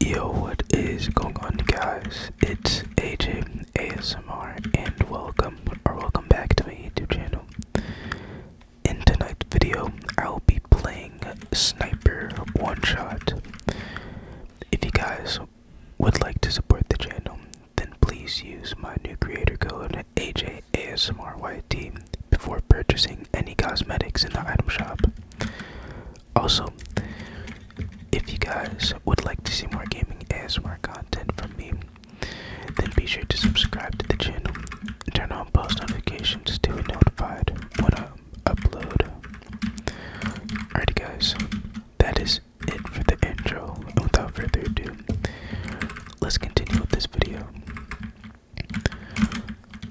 Yo, what is going on, guys? It's AJ ASMR, and welcome or welcome back to my YouTube channel. In tonight's video, I will be playing Sniper One Shot. If you guys would like to support the channel, then please use my new creator code AJASMRYT before purchasing any cosmetics in the item shop. Also, if you guys would like to see more gaming more content from me, then be sure to subscribe to the channel and turn on post notifications to be notified when I upload. Alrighty, guys, that is it for the intro. And without further ado, let's continue with this video.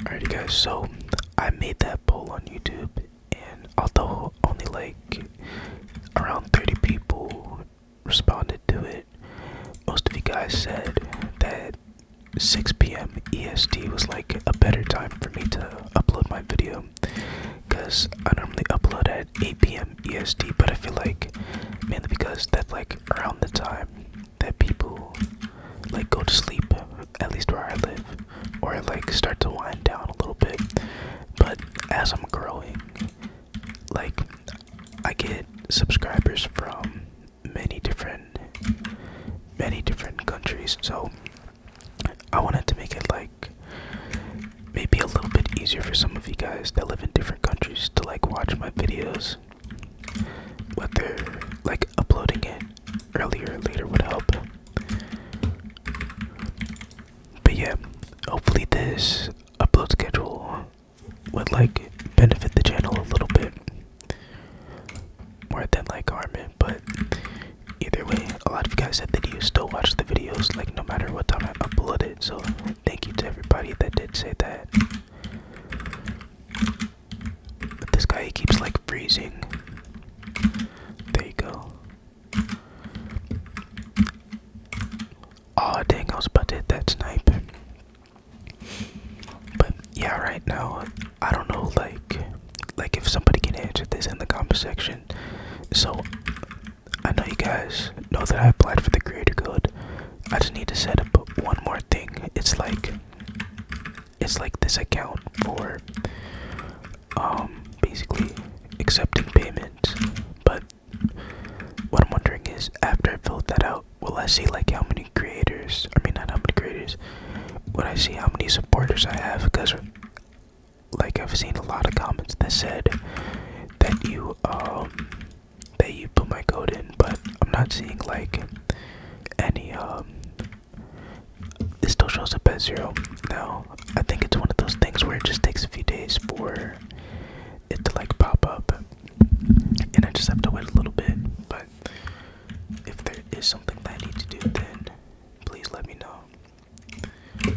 Alrighty, guys, so I made that poll on YouTube, and although only like around 30 people responded to it, most of you guys said that 6 p.m. EST was like a better time for me to upload my video because I normally upload at 8 p.m. EST, but I feel like mainly because that like around the time that people like go to sleep, at least where I live, or like start to wind down a little bit. But as I'm growing, like I get subscribers from many different many different countries. So I wanted to make it like maybe a little bit easier for some of you guys that live in different countries to like watch my videos but they're like uploading it earlier or later would help. But yeah, hopefully this upload schedule would like benefit the channel a little bit more than like harm But either way, a lot of you guys said that you still watch the videos like no matter what time I upload it. So thank you to everybody that did say that. But this guy keeps like freezing. There you go. Oh dang, I was about to hit that snipe. But yeah, right now I don't know like like if somebody can answer this in the comment section. So I know you guys know that I applied for the creator code. I just need to set up one more thing. It's like it's like this account for um, basically accepting payments but what i'm wondering is after i filled that out will i see like how many creators i mean not how many creators would i see how many supporters i have because like i've seen a lot of comments that said that you um that you put my code in but i'm not seeing like any um this still shows up as zero. Now, I think it's one of those things where it just takes a few days for it to like pop up, and I just have to wait a little bit. But if there is something that I need to do, then please let me know.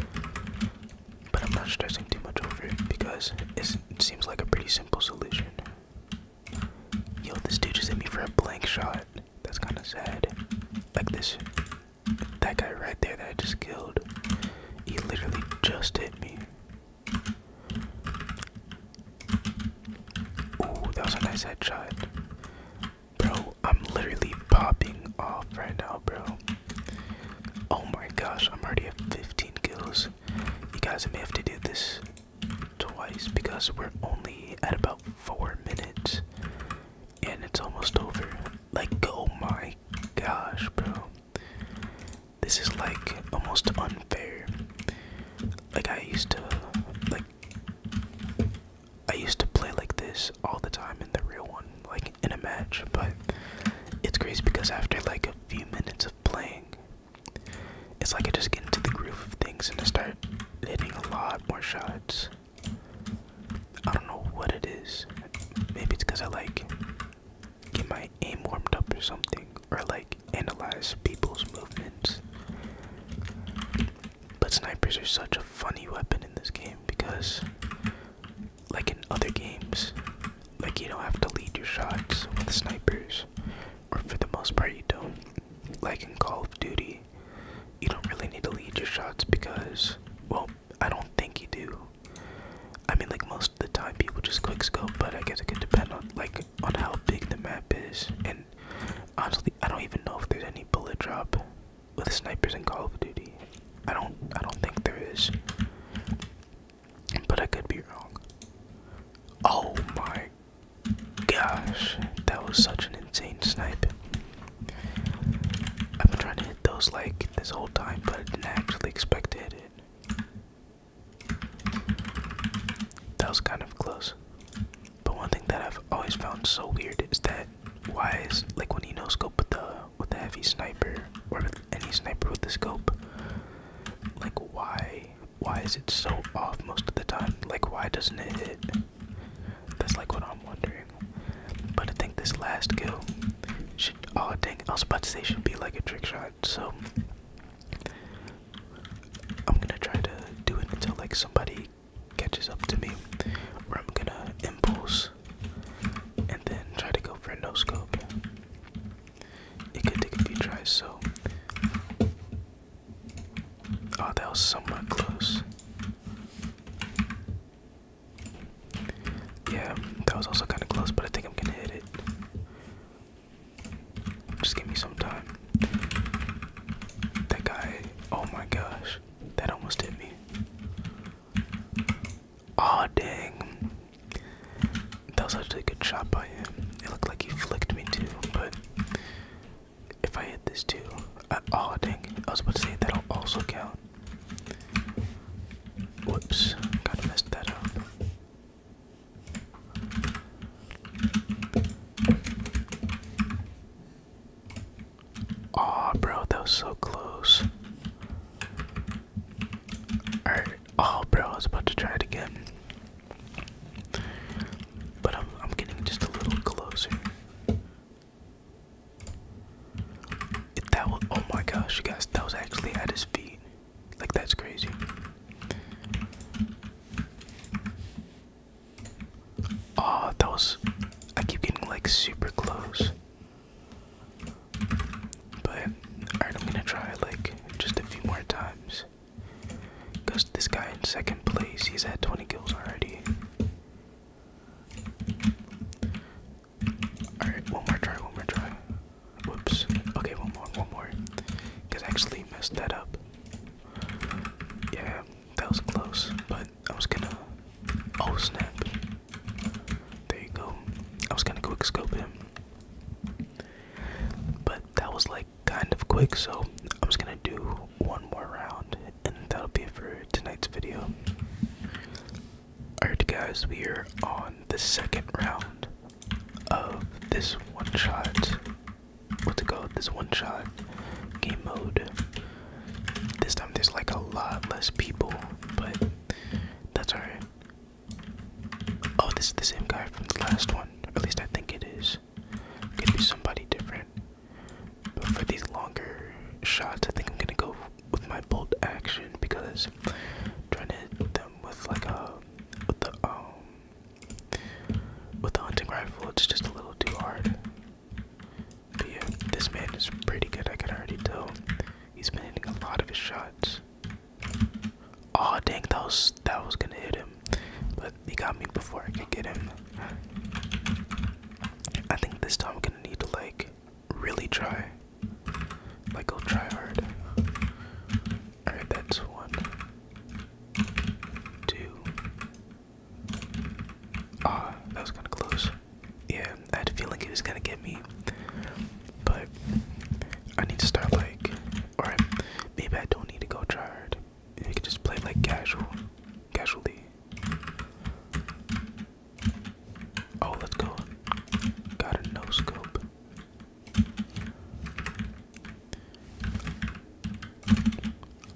But I'm not stressing too much over it because it seems like a pretty simple solution. Yo, this dude just hit me for a blank shot. That's kind of sad. Like this, that guy right there that I just killed, he literally just hit me. Ooh, that was a nice headshot. Bro, I'm literally popping off right now, bro. Oh my gosh, I'm already at 15 kills. You guys I may have to do this twice because we're only at about four minutes and it's almost over. Like, oh my gosh, bro. This is like almost unfair. Like, I used to, like, I used to play like this all the time in the real one, like in a match, but it's crazy because after like a few minutes of playing, it's like I just get into the groove of things and I start hitting a lot more shots. I don't know what it is. Maybe it's because I like get my aim warmed up or something, or like analyze people's movements. But snipers are such a funny weapon in this game because, like in other games, like you don't have to lead your shots with snipers, or for the most part, you don't. Like in Call of Duty, you don't really need to lead your shots because, well, I don't think you do. I mean, like most of the time, people just quick scope, but I guess it could depend on like on how big the map is. And honestly, I don't even know if there's any bullet drop with snipers in Call of Duty. I don't, I don't think there is, but I could be wrong. Oh my gosh, that was such an insane snipe. I've been trying to hit those like this whole time, but I didn't actually expect to hit it. That was kind of close. But one thing that I've always found so weird is that why is like when you no scope with the with the heavy sniper or with any sniper with the scope, like why why is it so off most of the time? Like why doesn't it hit? That's like what I'm wondering. But I think this last go should. Oh dang! I was about to say should be like a trick shot. So I'm gonna try to do it until like somebody catches up to me, or I'm gonna impulse and then try to go for a no scope. It could take a few tries. So Oh, that was somewhat close. Yeah, that was also kind of close, but I think I'm gonna hit it. Just give me some time. That guy, oh my gosh, that almost hit me. Aw, oh, dang. That was actually a good shot by him. It looked like he flicked me too, but if I hit this too, uh, oh dang, I was about to say that'll also count. Whoops, kind of messed that up. Aw, bro, that was so close. Alright, oh, bro, I was about to try it again. But I'm, I'm getting just a little closer that was, oh my gosh, you guys, that was actually at his feet. Like, that's crazy. Oh, that was, I keep getting like super close. But, alright, I'm gonna try like just a few more times. Because this guy in second place, he's at 20 kills already. Alright, one more try, one more try. Whoops. Okay, one more, one more. Because I actually messed that up. Yeah, that was close, but I was gonna. Oh, snap. There you go. I was gonna quick scope him. But that was like kind of quick, so I'm just gonna do one more round, and that'll be for tonight's video. Alright, guys, we are on the second round of this one shot. What's it called? This one shot game mode. This time there's like a lot less people, but that's alright. Oh, this is the same guy from the last one. at least I think it is. Could be somebody different. But for these longer shots, I think I'm gonna go with my bolt action because trying to hit them with like a uh, with the um with the hunting rifle, it's just a little too hard. But yeah, this man is pretty good. I can already tell. He's been hitting a lot of his shots. Oh dang, that was that was gonna hit him, but he got me before I could get him. I think this time I'm gonna need to like really try. Like go try hard. Alright, that's one. Two. Ah, that was kinda close. Yeah, I had a feeling it was gonna get me. But I need to start like alright, maybe I don't need to go try hard. We can just play like casual casualty. Oh, let's go. Got a no scope.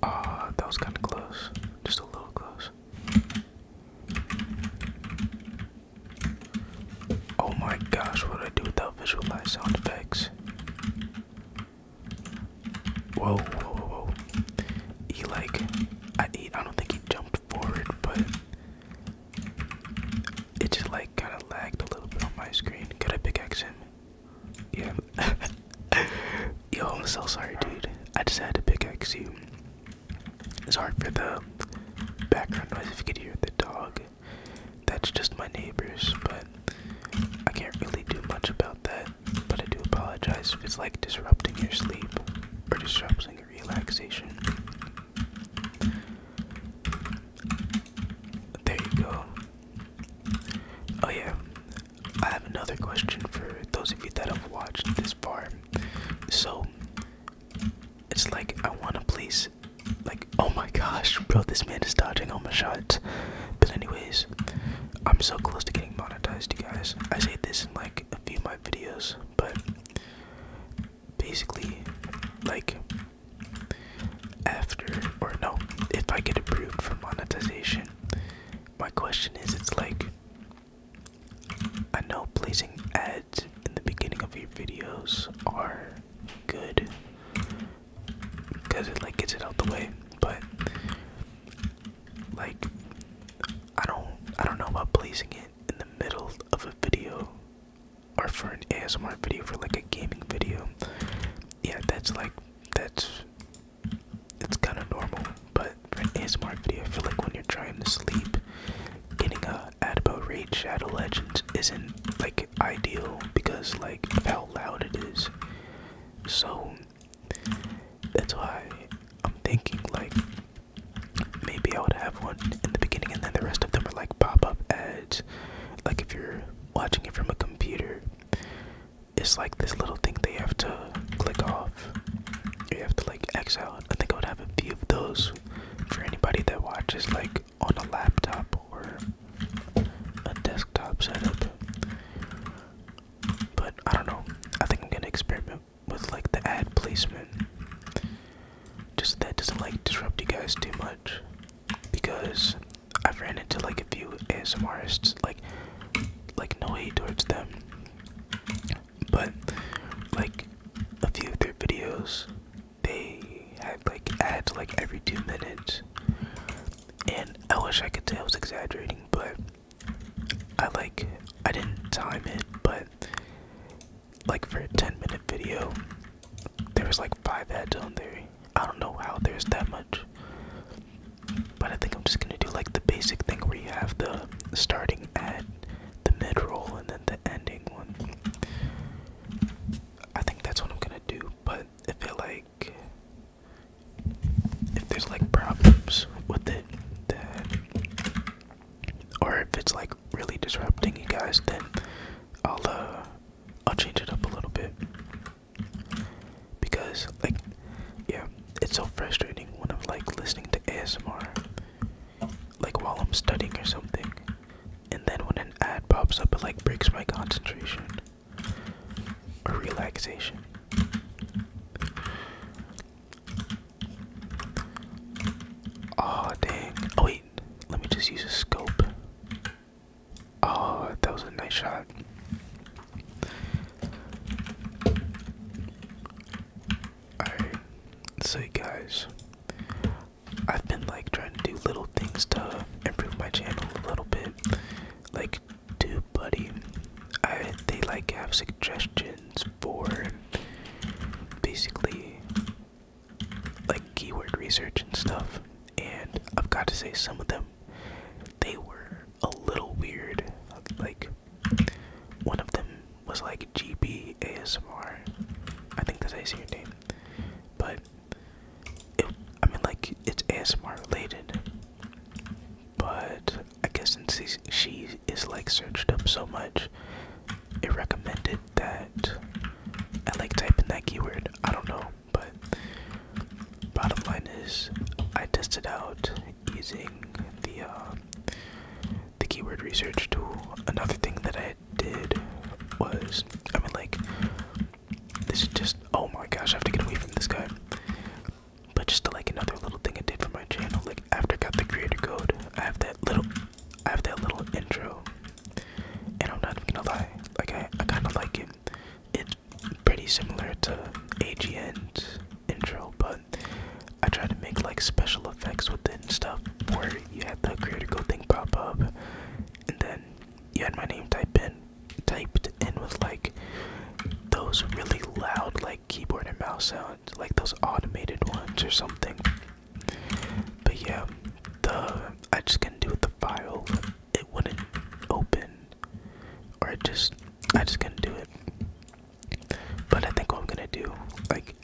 Ah, that was kind of close. Just a little close. Oh my gosh, what I do without visualized sound effects? Whoa, whoa, whoa, whoa. He like, I, he, I don't think he jumped forward, but it just like kind of lagged a little bit on my screen. Got a big him? Yeah. Yo, I'm so sorry, dude. I just had to pickaxe you. It's hard for the background noise if you could hear the dog. That's just my neighbors, but I can't really do much about that but I do apologize if it's like disrupting your sleep or disrupting your relaxation. There you go. Oh, yeah. I have another question for those of you that have watched this far. So, it's like I want to please, like, oh my gosh, bro, this man is dodging all my shots. But, anyways, I'm so close to getting my monetized, you guys. I say this in like a few of my videos, but basically, like after or no, if I get approved for monetization, my question is, it's like I know placing ads in the beginning of your videos are good because it like gets it out the way, but like I don't I don't know about placing it in the middle of a video or for an ASMR video for like a gaming video. Yeah, that's like that's it's kind of normal, but for an ASMR video, I feel like when you're trying to sleep, getting a ad about Raid Shadow Legends isn't like ideal because like how loud it is. So that's why I'm thinking like maybe I would have one in the beginning and then the rest of them are like pop up ads. Like if you're watching it from a computer, it's like this little thing they have to click off. You have to like X out. I think I would have a few of those for anybody that watches like on a laptop or a desktop setup. But I don't know. I think I'm gonna experiment with like the ad placement. Just that doesn't like disrupt you guys too much because I've ran into like a few ASMRists like like no hate towards them, but like a few of their videos they had like ads like every two minutes, and I wish I could tell I was exaggerating, but I like I didn't time it, but like for a 10 minute video, there was like five ads on there. I don't know how there's that much, but I think I'm just gonna do like the basic thing where you have the starting ad, the mid roll, and then the ending one. I think that's what I'm gonna do, but if it like if there's like problems with it, then, or if it's like really disrupting you guys, then I'll uh, I'll change it up a little bit because like yeah, it's so frustrating when I'm like listening to ASMR like while I'm studying or something, and then when an ad pops up, it like breaks my concentration or relaxation. Oh dang. Oh wait, let me just use a scope. Oh, that was a nice shot. Alright, so guys, I've been like trying to do little things to improve my channel a little bit. Like do buddy. I they like have suggestions for basically like keyword research and stuff. And I've got to say some of them they were a little weird. Like one of them was like GB I think that's how you say your But I mean like it's ASMR related. But I guess since she is like searched up so much, it recommended that I like typing that keyword. I don't know, but bottom line is I tested out using the uh, the keyword research tool. Another thing that I did was I mean like this is just oh my gosh I have to get away from this guy. But just like another little thing I did for my channel, like after I got the creator code, I have that little, I have that little intro, and I'm not even gonna lie, like I, I kind of like it. It's pretty similar to AGN intro, but I tried to make like special effects with it and stuff, where you had the creator code thing pop up, and then you had my name type in, typed in with like those really loud like keyboard and mouse sounds, like those automated ones or something. But yeah, the I just couldn't do with the file. It wouldn't open, or I just I just couldn't do it. But I think what I'm gonna do, like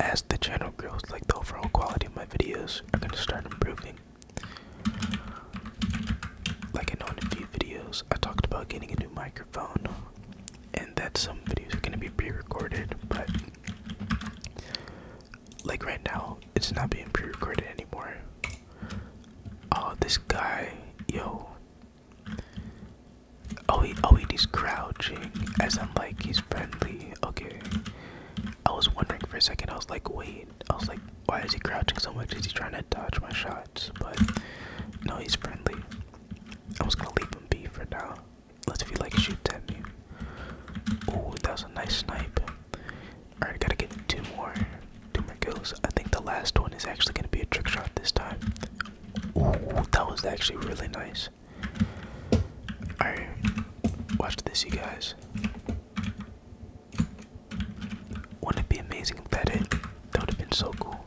as the channel grows, like the overall quality of my videos are gonna start improving. Like I know in a few videos, I talked about getting a new microphone and that some videos are gonna be pre-recorded, but like right now, it's not being pre-recorded anymore. Oh, this guy, yo. Oh, he, oh, he's crouching, as I'm like he's friendly. Okay. I was wondering for a second. I was like, wait. I was like, why is he crouching so much? Is he trying to dodge my shots? But no, he's friendly. I was gonna leave him be for now. Let's if he like shoot at me. Oh, that was a nice snipe. Alright, gotta get two more two more kills. I think the last one is actually gonna be a trick shot this time. Ooh, that was actually really nice. Alright. Watch this you guys. Wouldn't it be amazing if that hit? That would have been so cool.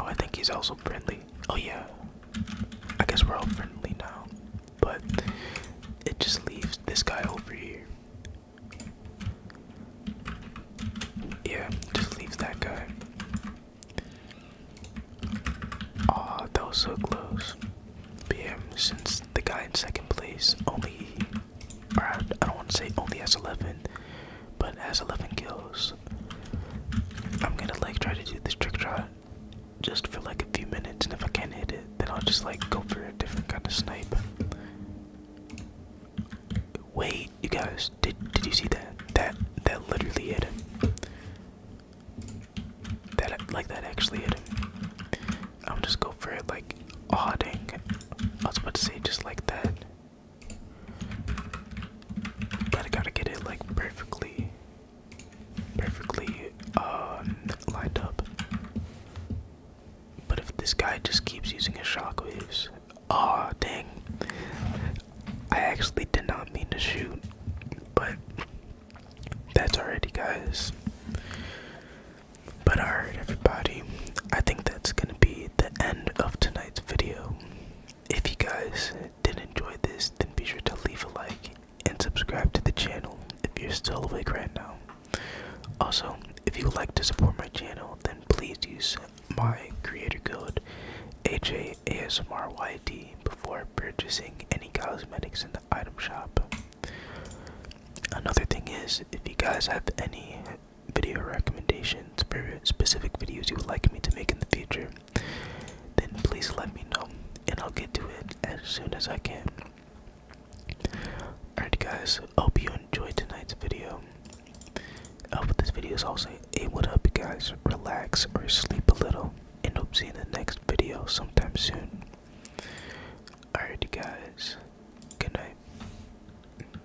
Oh, I think he's also friendly. Oh, yeah. I guess we're all friendly now. But it just leaves this guy over here. Yeah, just leaves that guy. Aw, oh, that was so close. But since the guy in second place only I, don't want to say only s 11, but s 11 kills. I'm gonna like try to do this trick shot just for like a few minutes, and if I can't hit it, then I'll just like go for a different kind of snipe. Wait, you guys, did did you see that? That that literally hit That like that actually hit I'm just go for it like oh dang. I was about to say just like that. But I gotta get it like perfectly, perfectly um, lined up. But if this guy just keeps using his shockwaves, ah, dang! I actually did not mean to shoot, but that's already, guys. But alright, everybody, I think that's gonna be the end of tonight's video. If you guys did enjoy this, then be sure to leave a like and subscribe to the channel if you're still awake right now. Also, if you would like to support my channel, then please use my creator code HAASMRYD before purchasing any cosmetics in the item shop. Another thing is, if you guys have any video recommendations, specific videos you would like me to make in the future, then please let me know and I'll get to it as soon as I can. Alright guys, hope you enjoyed tonight's video. I hope this video is also able to help you guys relax or sleep a little and hope to see you in the next video sometime soon. Alright guys, good night.